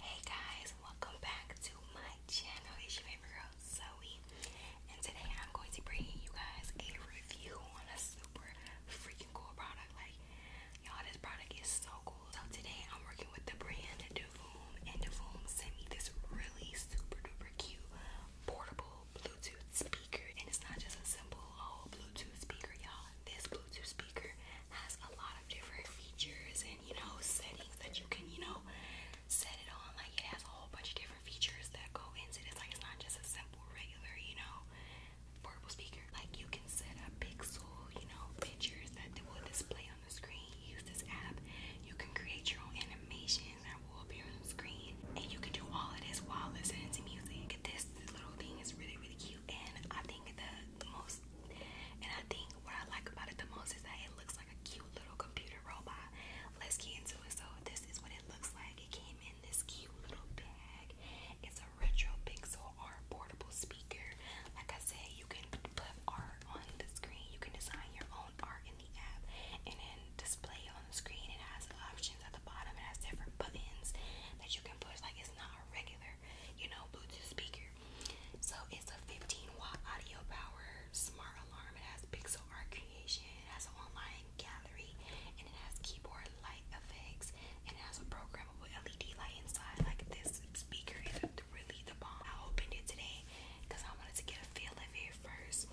Hey guys, welcome back to my channel. It's your favorite girl, Zoe. And today I'm going to bring you guys a review on a super freaking cool product. Like, y'all, this product is so cool. So today I'm working with the brand Davoom. And Davoom sent me this really super duper cute portable Bluetooth speaker. And it's not just a simple old Bluetooth speaker, y'all. This Bluetooth speaker has a lot of different features you know, settings that you can, you know, set it on. Like it has a whole bunch of different features that go into this. Like it's not just a simple regular, you know, portable speaker. Like you can set up pixel, you know, pictures that will display on the screen. You use this app. You can create your own animation that will appear on the screen. And you can do all of this while listening to music. This, this little thing is really, really cute and I think the most and I think what I like about it the most is that it looks like a cute little computer robot. Let's get into it. So this is what it looks like. It came in this cute little bag. It's a retro pixel art portable speaker. Like I said, you can put art on the screen. You can design your own art in the app and then display it on the screen. It has options at the bottom. It has different buttons that you can push. Like it's not a regular another, you know, Bluetooth speaker. So it's a 15 watt audio power smart alarm. It has pixel art creation, it has online gallery, and it has keyboard light effects, it has a programmable LED light inside. Like this speaker is really the bomb. I opened it today because I wanted to get a feel of it first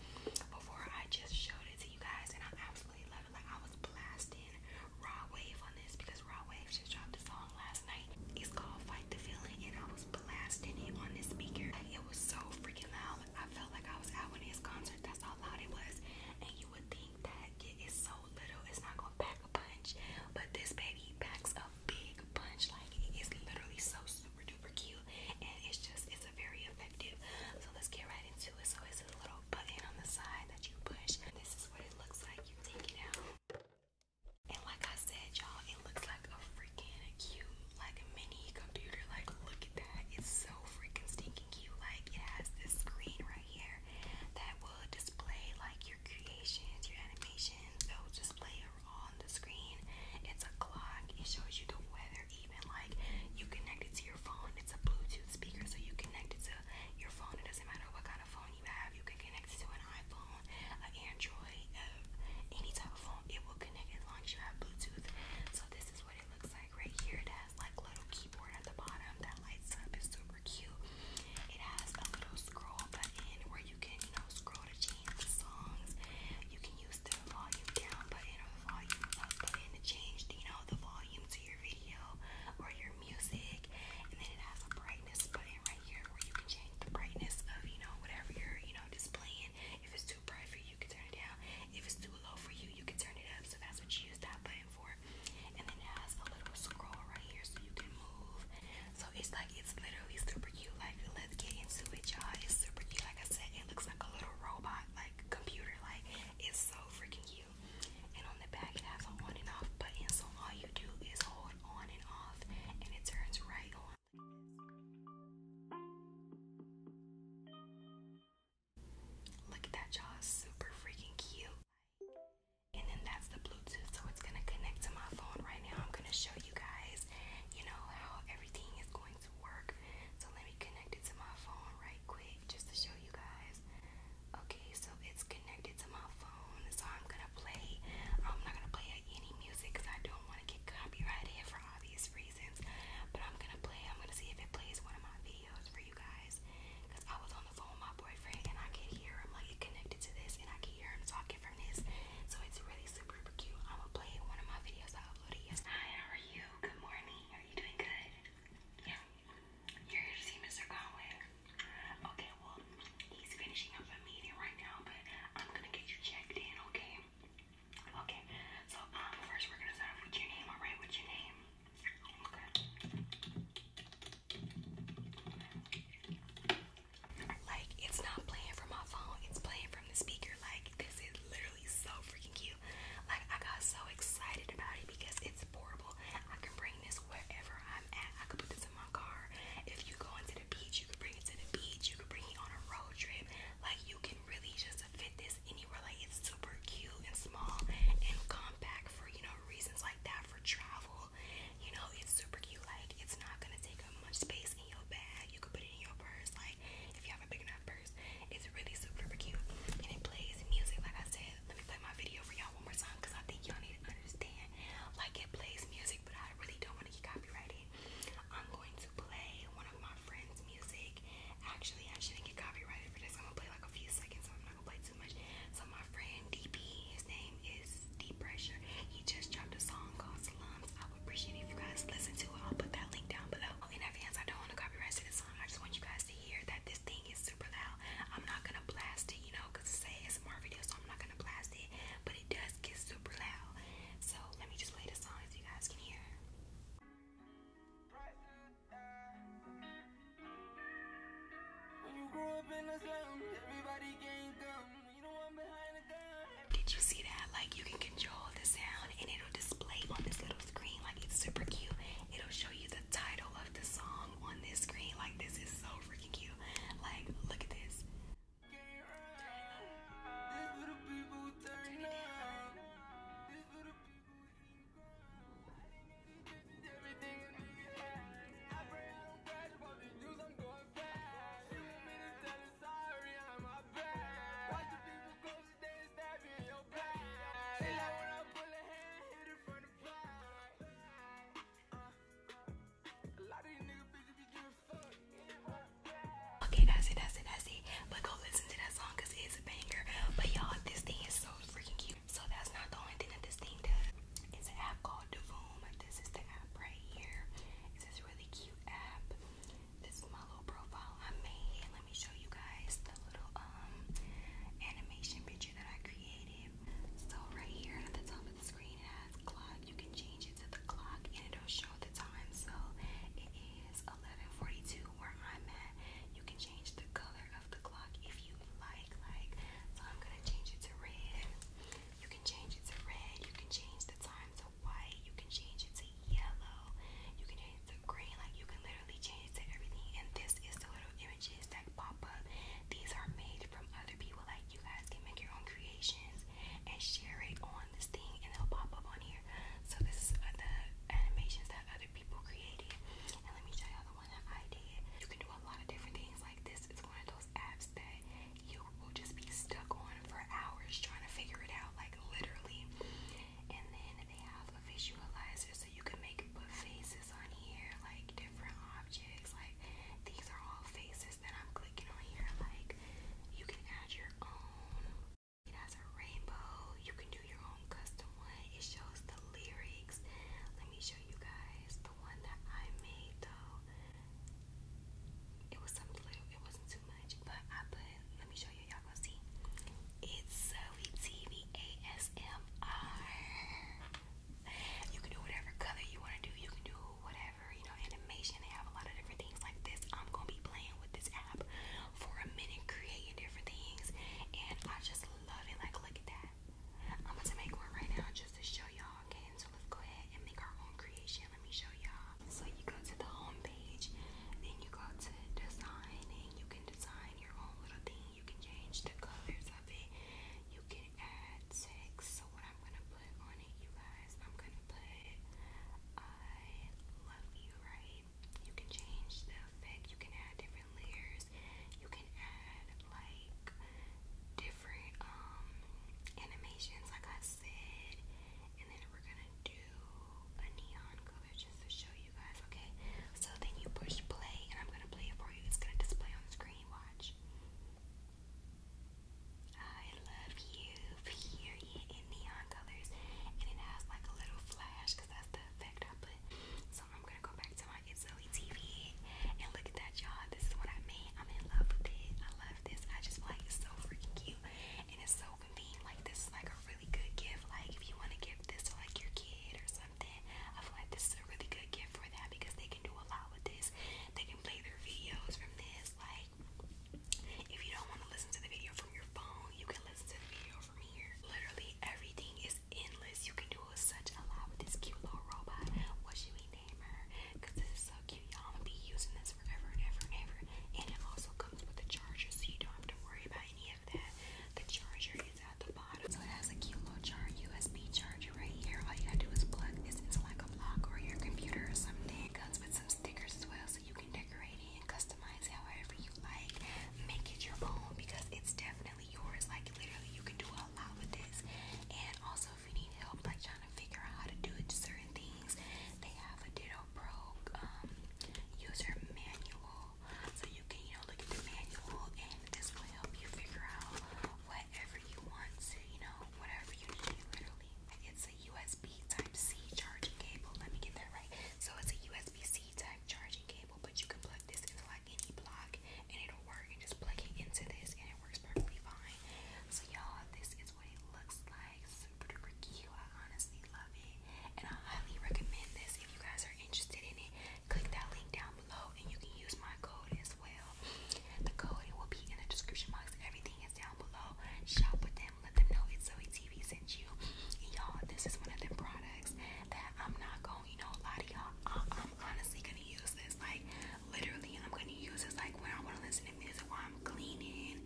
before I just showed it to you guys, and I absolutely love like I was blasting Raw Wave on this because Raw Wave just dropped a song last night. It's called Fight the Feeling, and I was blasting it on this speaker. it was so freaking loud. I felt like I was at one of his concerts. That's how loud it was. And you would think that it is so little, it's not gonna pack a punch. But this baby packs a big punch. Like it is literally so super duper cute, and it's just it's a very effective. So let's get right into it. So it's a little button on the side that you push. This is it looks like. You take it out. And like I said, y'all, it looks like a freaking cute, like a mini computer. Like, look at It's so freaking stinking cute. Like, it has this screen right here that will display like your creations, your animations. It'll display it on the screen. It's a clock. It shows you the weather. Even like you connect it to your phone. It's a Bluetooth speaker, so you connect it to your phone. It doesn't matter what kind of phone you have. You can connect it to an iPhone, an Android, um, any type of phone. It will connect as long as you have Bluetooth. So this is what it looks like right here. It has like little keyboard at the bottom that lights up. It's super cute. It has a little scroll button where you can, you know, scroll to change the songs. You can use the volume down button or the volume up button to change, you know, the volume to your video or your music, and then it has a brightness button right here where you can change the brightness of you know whatever you're you know displaying. If it's too bright for you, you can turn it down. If it's too low for you, you can turn it up. So that's what you use that button for. And then it has a little scroll right here so you can move. So it's like it's literally super cute. Like let's get into it, y'all. It's super cute. Like I said, it looks like a little robot, like computer. Like it's so freaking cute. And on the back, it has a on and off button, so all you do is hold on and off, and it turns right on. Look at that, you Super freaking cute. And then that's the Bluetooth, so it's gonna connect to my phone right now. I'm gonna show you guys, you know, how everything is going to work. So let me connect it to my phone right quick just to show you guys. Okay, so it's connected to my phone, so I'm gonna play. I'm not gonna play any music because I don't want to get copyrighted for obvious reasons. But I'm gonna play. I'm gonna see if it plays one of my videos for you guys. Cause I was on the phone with my boyfriend and I could hear him. Like it connected to this, and I could hear him talking from this. So it's really super, super cute. I'm gonna play one of my videos I uploaded yesterday. how are you? Good morning. Are you doing good? Yeah. You're here to see Mr. Conway. Okay, well, he's finishing up a meeting right now, but I'm gonna get you checked in, okay? Okay. So um first we're gonna start with your name, alright? What's your name? Okay. Like it's not playing from my phone, it's playing from the speaker, like this is literally so freaking cute you. Like I got so excited about it because it's portable. I can bring this wherever I'm at. I could put this in my car. If you go into the beach, you could bring it to the beach. You could bring it on a road trip. Like you can really just fit this anywhere. Like it's super cute and small and compact for you know reasons like that for travel. You know it's super cute. Like it's not gonna take up much space in your bag. You could put it in your purse. Like if you have a big enough it's really super cute and it plays music. Like I said, let me play my video for y'all one more time because I think y'all need to understand. Like it plays music, but I really don't want to get copyrighted. I'm going to play one of my friends' music. Actually, I shouldn't get copyrighted for this. I'm gonna play like a few seconds, so I'm not gonna play too much. So my friend DP, his name is Deep Pressure. He just dropped a song called Slums. I would appreciate if you guys listen to it. I'll put that link down below. In advance, I don't want to copyright this song. I just want you guys to hear that this thing is super loud. I'm not gonna blast it, you know, because it's a smart video, so I'm not gonna blast it. But it does get super loud. So let me just play the song so you guys can hear. Did you see that? Like you can control the sound and it'll display on this little screen. Like it's super cute. It'll show you the title of the song on this screen. Like this is so freaking cute. Like look at this. Okay, that's it, that's But go listen to that song it's a banger. But y'all, this thing is so freaking cute. So that's not the only thing that this thing does. It's an app called Davoom. This is the app right here. It's this really cute app. This is my little profile I made. Let me show you guys the little um animation picture that I created. So right here at the top of the screen it has clock. You can change it to the clock and it'll show the time. So it is 11:42 where I'm at. You can change the color of the clock if you like. Like so, I'm gonna change it to red. You can change it to red. You can change the time to white, you can change it to yellow, you can change it to green, like you can literally change it to everything. And this is the little images that pop up. These are made from other people, like you guys can make your own creations and share it on this thing, and it'll pop up on here. So, this is uh, the animations that other people created. And let me show y'all the one that I did. You can do a lot of different things, like this is one of those apps that you will just be stuck on for hours trying to figure it out, like literally. And then they have a visualizer so you can make faces on here, like different objects. Like these are all faces that I'm clicking on here. Like you can add your own. It has a rainbow. You can do your own custom one. It shows the lyrics. Let me show you guys the one that I made though. It was something little, it wasn't too much, but I put, let me show you, y'all gonna see. It's Zoe TV ASMR. You can do whatever color you wanna do, you can do whatever, you know, animation. They have a lot of different things like this. I'm gonna be playing with this app for a minute, creating different things, and I just love it. Like, look at that. I'm about to make one right now just to show y'all okay? So let's go ahead and make our own creation. Let me show y'all. So you go to the home then you go to design, and you can design your own little thing. You can change the colors of it. You can add text. So what I'm gonna put on it, you guys, I'm gonna put I love you, right? You can change the effect. You can add different layers. You can add like. Different different um, animations like I said and then we're gonna do a neon color just to show you guys okay so then you push play and I'm gonna play it for you it's gonna display on the screen watch I love you period in neon colors and it has like a little flash because that's the effect I put so I'm gonna go back to my it's Zoe TV. And look at that, you This is what I made. I'm in love with it. I love this. I just like it's so freaking cute. And it's so convenient. Like, this is like a really good gift. Like, if you want to give this to like your kid or something, I feel like this is a really good gift for that because they can do a lot with this. They can play their videos from this. Like, if you don't want to listen to the video from your phone, you can listen to the video from here. Literally, everything is endless. You can do was such a lot with this cute little robot. What should we name her? Because this is so cute, y'all. I'm gonna be using this forever and ever and ever. And it also comes with a charger, so you don't have to worry about any of that. The charger is at the bottom, so it has a cute little charge, USB charger right here. All you gotta do is plug this into like a block or your computer or something. It comes with some stickers as well, so you can decorate it and customize however you like. Make it your own because it's definitely yours. Like literally, you can do a a lot with this. And also, if you need help, like trying to figure out how to do certain things, they have a Ditto Pro um, user manual, so you can you know look at the manual, and this will help you figure out whatever you want to, you know, whatever you need. Literally, it's a USB Type C charging cable. Let me get that right. So it's a USB C type charging cable, but you can plug this into like any block and it'll work and just plug into this and it works perfectly fine. So y'all, this is what it looks like. Super duper cute. I honestly love it. And I highly recommend this if you guys are interested in it. Click that link down below and you can use my code as well. The code it will be in the description box. Everything is down below. Shop with them. Let them know it's Zoe TV sent you. And y'all, this is one of them products that I'm not going you know, a lot of y'all, I'm honestly gonna use this. Like, literally, I'm gonna use this like when I wanna listen to music while I'm cleaning.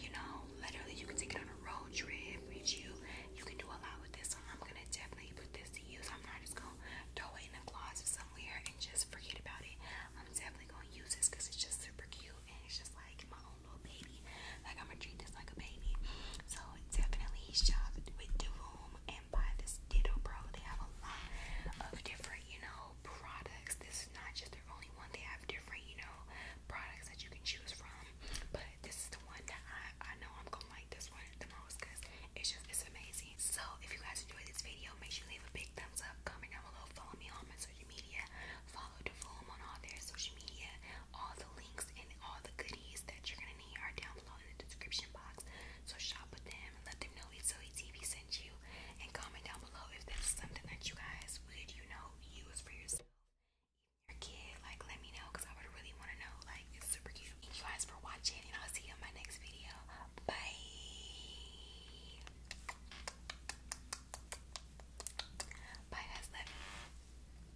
You know, literally, you can take it on a road trip you. You can do a lot with this, so I'm gonna definitely put this to use. I'm not just gonna throw it in a closet somewhere and just forget about it. I'm definitely gonna use this because it's just super cute and it's just like my own little baby. Like, I'm gonna treat this like a baby. So, definitely shop with Devoom and buy this Ditto Pro. They have a lot of different, you know, products. This is not just their only one. They have different, you know, products that you can choose from. But this is the one that I, I know I'm gonna like this one the most because it's just it's amazing. So if you guys enjoyed this video, make sure you leave a big thumbs up, comment down below, follow me on my social media, follow Devoom on all their social media. All the links and all the goodies that you're gonna need are down below in the description box. So shop with them and let them know it's TV sent you. And comment down below if that's something that you guys would, you know, use for yourself. Your kid, like, let me know because I would really want to know. Like, it's super cute. Thank you guys for watching, and I'll see you in my next video. Bye. Bye, guys. Love you.